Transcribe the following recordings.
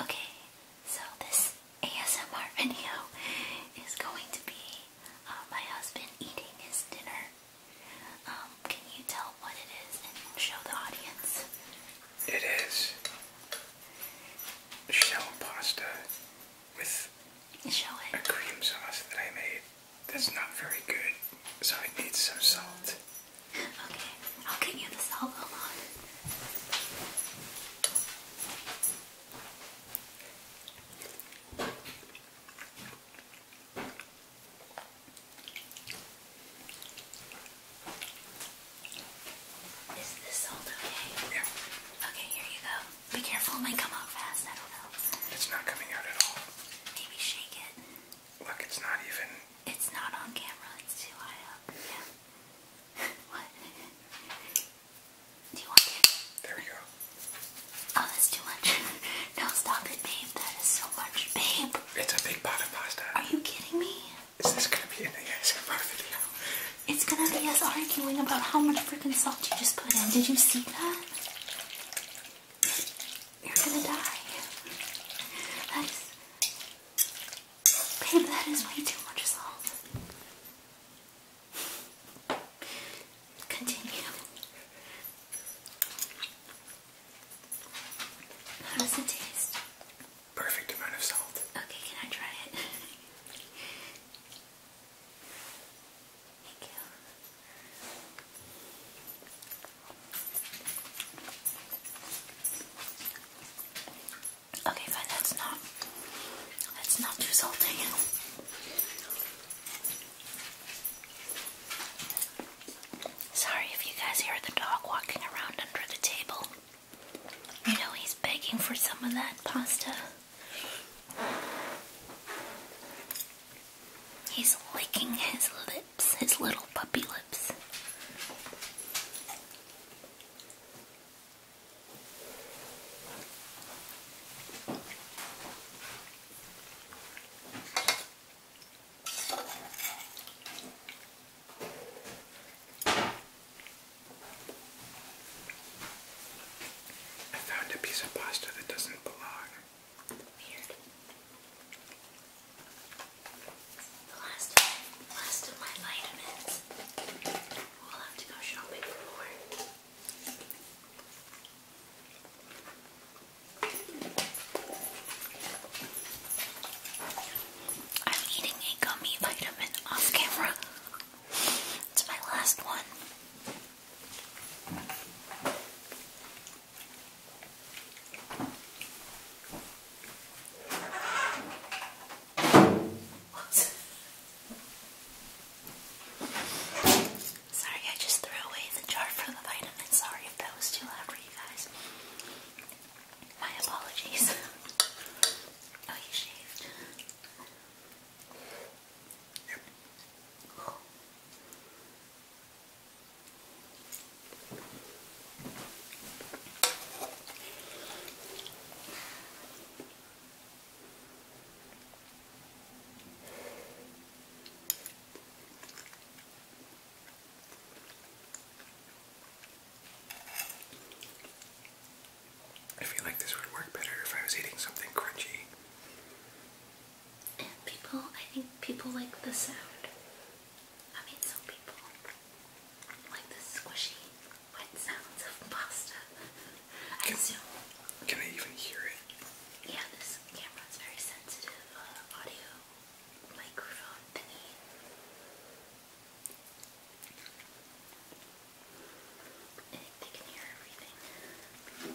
Okay, so this ASMR video is going to be uh, my husband eating his dinner. Um, can you tell what it is and show the audience? It is shell pasta with a cream sauce that I made that's not very good, so I need some salt. Okay, I'll get you the salvo mod. Is this salt okay? Here. Okay, here you go. Be careful, it might come out fast, That don't It's not coming out at all. Maybe shake it. Look, it's not even. It's not on camera, it's too high up. Yeah. what? Do you want There we go. Oh, that's too much. no, stop it, babe. That is so much, babe. It's a big pot of pasta. Are you kidding me? Is this gonna be in the ASMR video? It's gonna be us arguing about how much freaking salt you just put in. Did you see that? You're gonna die. That is Babe, that is way too much salt. Continue. How does it taste? Perfect amount of salt. Okay, can I try it? Thank you. Okay, fine, that's not that's not too salty. Sorry if you guys hear the dog walking around under the table. You know he's begging for some of that pasta. He's licking his lip his little puppy lips. I found a piece of pasta that doesn't belong. Weird. The last, last of my vitamins. We'll have to go shopping for more. I'm eating a gummy vitamin off camera. It's my last one. Sorry, I just threw away the jar for the vitamins. Sorry if that was too loud for you guys. My apologies. oh, you shaved. I feel like this would work better if I was eating something crunchy. And people, I think people like the sound squishy, wet sounds of pasta. can, I even hear it? Yeah, this camera's very sensitive uh, audio microphone thingy. they can hear everything.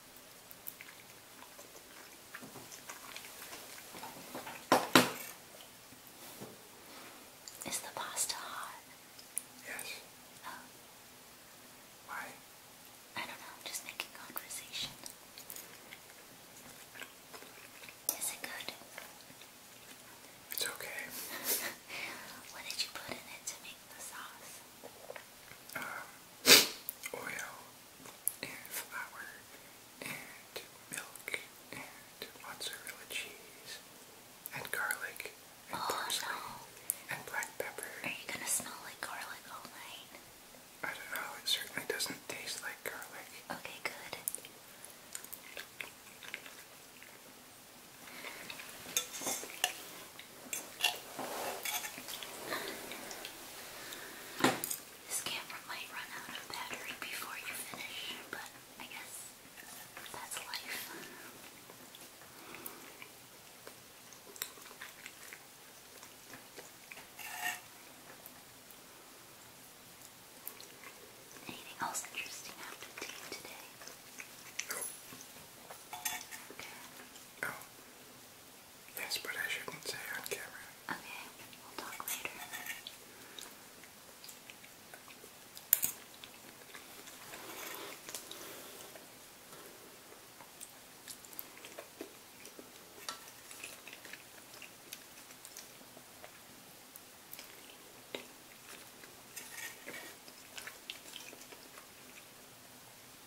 Is the pasta hot? Yes. Oh. Why? I don't know, just making conversation. Is it good? It's okay. what did you put in it to make the sauce? Um, oil and flour and milk and mozzarella cheese and garlic and oh, parsley and black pepper. Are you gonna smell like garlic all night? I don't know, it certainly doesn't taste like garlic. Okay, good. This camera might run out of battery before you finish, but I guess that's life. Anything else interesting happened to you today? No. Okay. No. Yes, but I shouldn't say on camera. Okay, we'll talk later.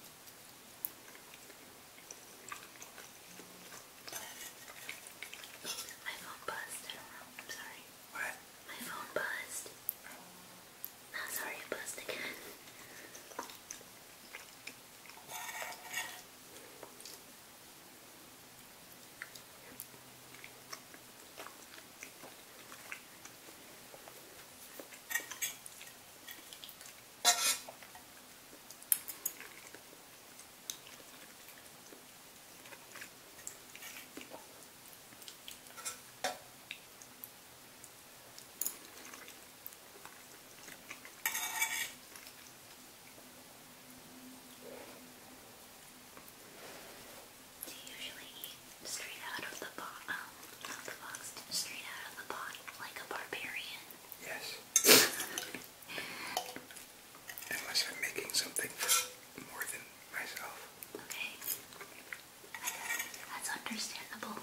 My phone buzzed. I don't know. I'm sorry. What? My phone buzzed. Oh, sorry, it buzzed again. They usually eat straight out of the pot, um, straight out of the pot, like a barbarian. Yes. Unless I'm making something for more than myself. Okay. That's understandable.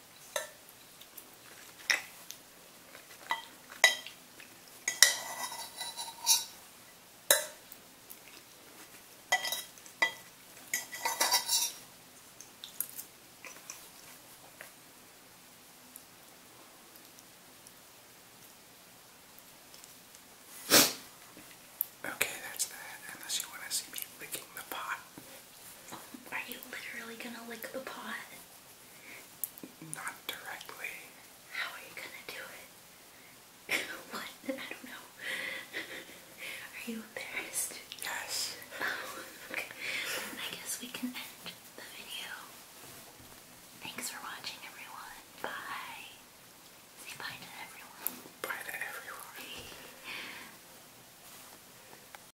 Okay, that's that. Unless you want to see me licking the pot. Are you literally gonna lick the pot? Not directly. How are you gonna do it? what? I don't know. are you embarrassed? Yes. Oh, okay. I guess we can end the video. Thanks for watching, everyone. Bye. Say bye to everyone. Bye to everyone.